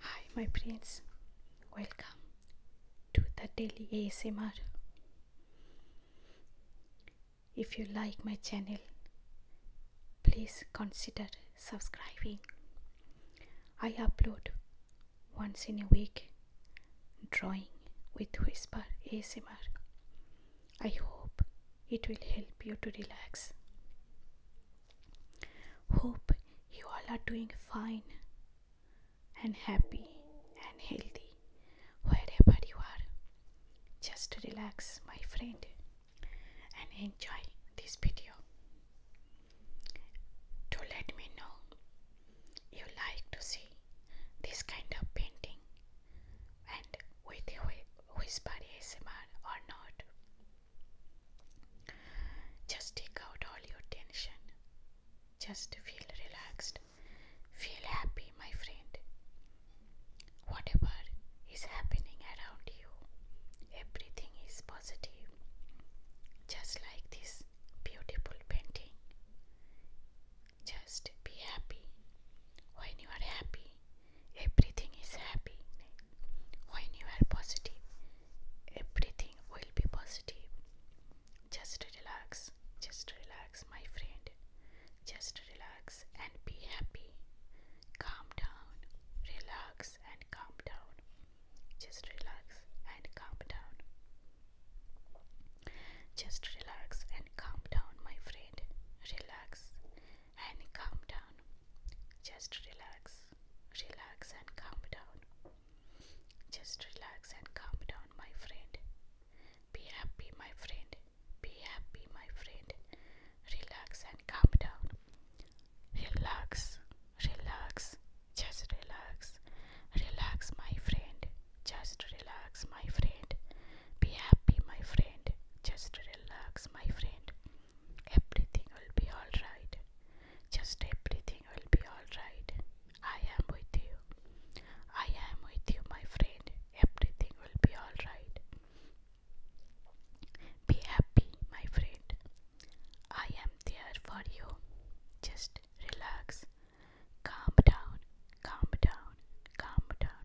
Hi, my friends. Welcome to the daily ASMR. If you like my channel, please consider subscribing. I upload once in a week drawing with Whisper ASMR. I hope it will help you to relax. Hope you all are doing fine and happy and healthy wherever you are. Just relax, my friend, and enjoy this video. To let me know you like to see this kind of painting and with whisper ASMR or not. Just take out all your tension. Just feel relaxed. Feel happy, my friend. Whatever is happening around you, everything is positive. Just like this beautiful painting. Just be happy. When you are happy, Everything is happy. When you are positive, everything will be positive. Just relax, just relax, my friend. Just relax and be happy. Calm down, relax and calm down. Just relax and calm down. Just relax and calm down, my friend. Relax and calm down. Just relax, relax and calm down. Just relax and calm down, my friend. Be happy, my friend. Be happy, my friend. Relax and calm down. Relax, relax, just relax. Relax, my friend. Just relax, my friend. Be happy, my friend. Just relax, my friend. Everything will be alright. Just everything will be alright. I am with you. I am with you, my friend. Everything will be alright. Be happy, my friend. I am there for you. Just relax. Calm down, calm down, calm down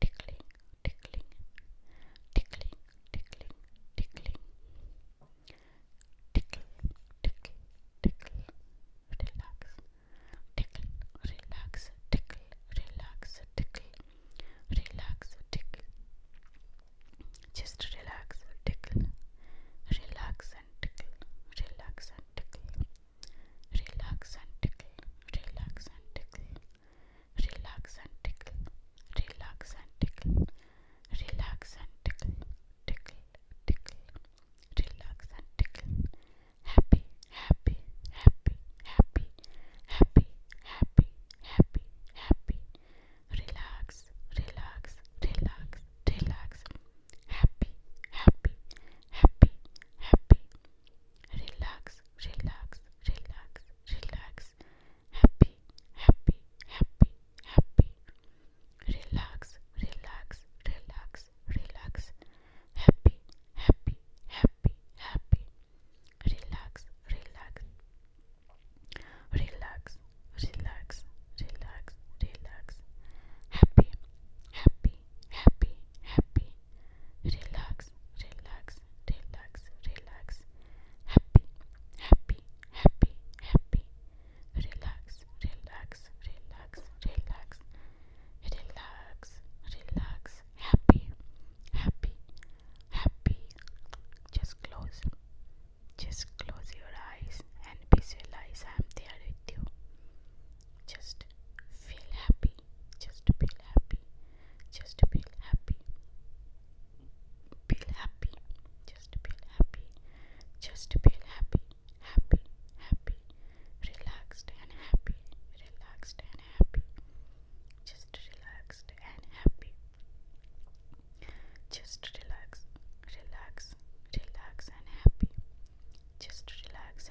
tickling, tickling, tickling, tickling, tickling, tickle, tickle, tickle, relax, tickle, relax, tickle, relax, tickle, relax, tickle. Just relax, tickle, relax and tickle, relax and tickle, relax and tickle, relax and tickle, Relax and tickle. Relax and tickle. Relax and tickle. Tickle, tickle. Relax and tickle. Happy, happy, happy, happy, happy, happy, happy, happy. Relax, relax, relax, relax. Happy, happy, happy, happy relax, relax, relax, relax, happy, happy, happy, happy, relax, relax, relax, relax, happy, happy, happy, happy, relax, relax, relax, relax, relax, relax, happy, happy, happy, happy relax relax relax relax happy happy happy happy relax relax relax relax relax relax happy happy happy just close just close your eyes and visualize I am there with you just feel happy just feel happy just feel happy feel happy just feel happy just feel happy happy happy relaxed and happy relaxed and happy just relaxed and happy just relax relax relax and happy just relax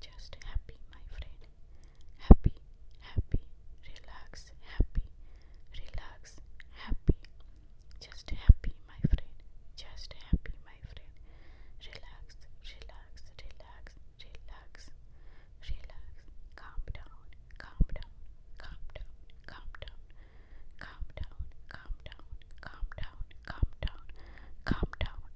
Just happy, my friend. Happy, happy, relax, happy, relax, happy. Just happy, my friend. Just happy, my friend. Relax, relax, relax, relax, relax. Calm down, calm down, calm down, calm down, calm down, calm down, calm down, calm down, calm down,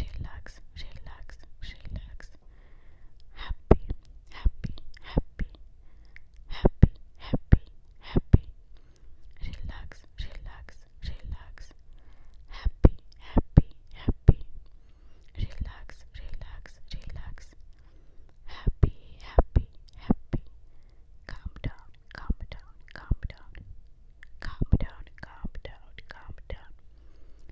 relax, relax, relax. Happy, happy, happy, happy, happy, happy. Relax, relax, relax. Happy, happy, happy. Relax, relax, relax. Happy, happy, happy. Calm down, calm down, calm down. Calm down, calm down, calm down.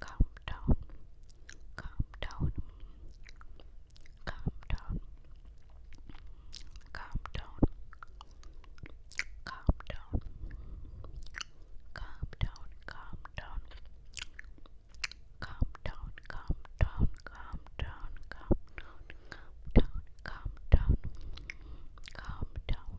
calm down, calm down, calm down, calm down, calm down, calm down, calm down, calm down, calm down, calm down, calm down, calm down, calm down, calm down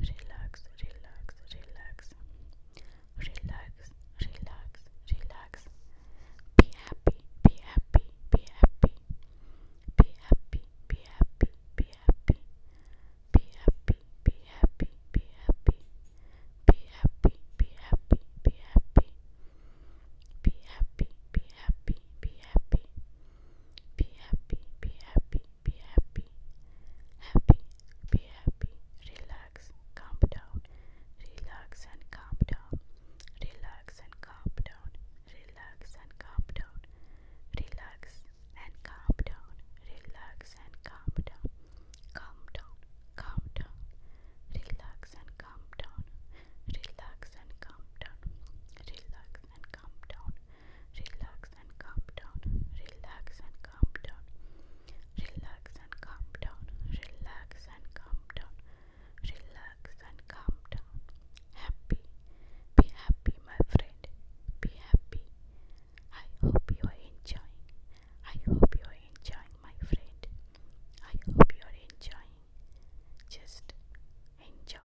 relax, relax, relax, relax, relax, relax. Be happy, be happy, be happy, be happy, be happy, be happy, be happy, be happy, be happy, be happy, be happy, be happy. Be happy, be happy, be happy. Be happy, be happy, be happy, happy, be happy, relax, calm down, relax and calm down, relax and calm down, relax and calm down, relax and calm down, relax and calm down, calm down, calm down, relax and calm down, relax and calm down, relax and calm down relax and calm down, relax and calm down, relax and calm down, relax and calm down, relax and calm down. Happy, be happy, my friend, be happy. I hope you are enjoying. I hope you are enjoying, my friend. I hope you are enjoying. Just enjoy.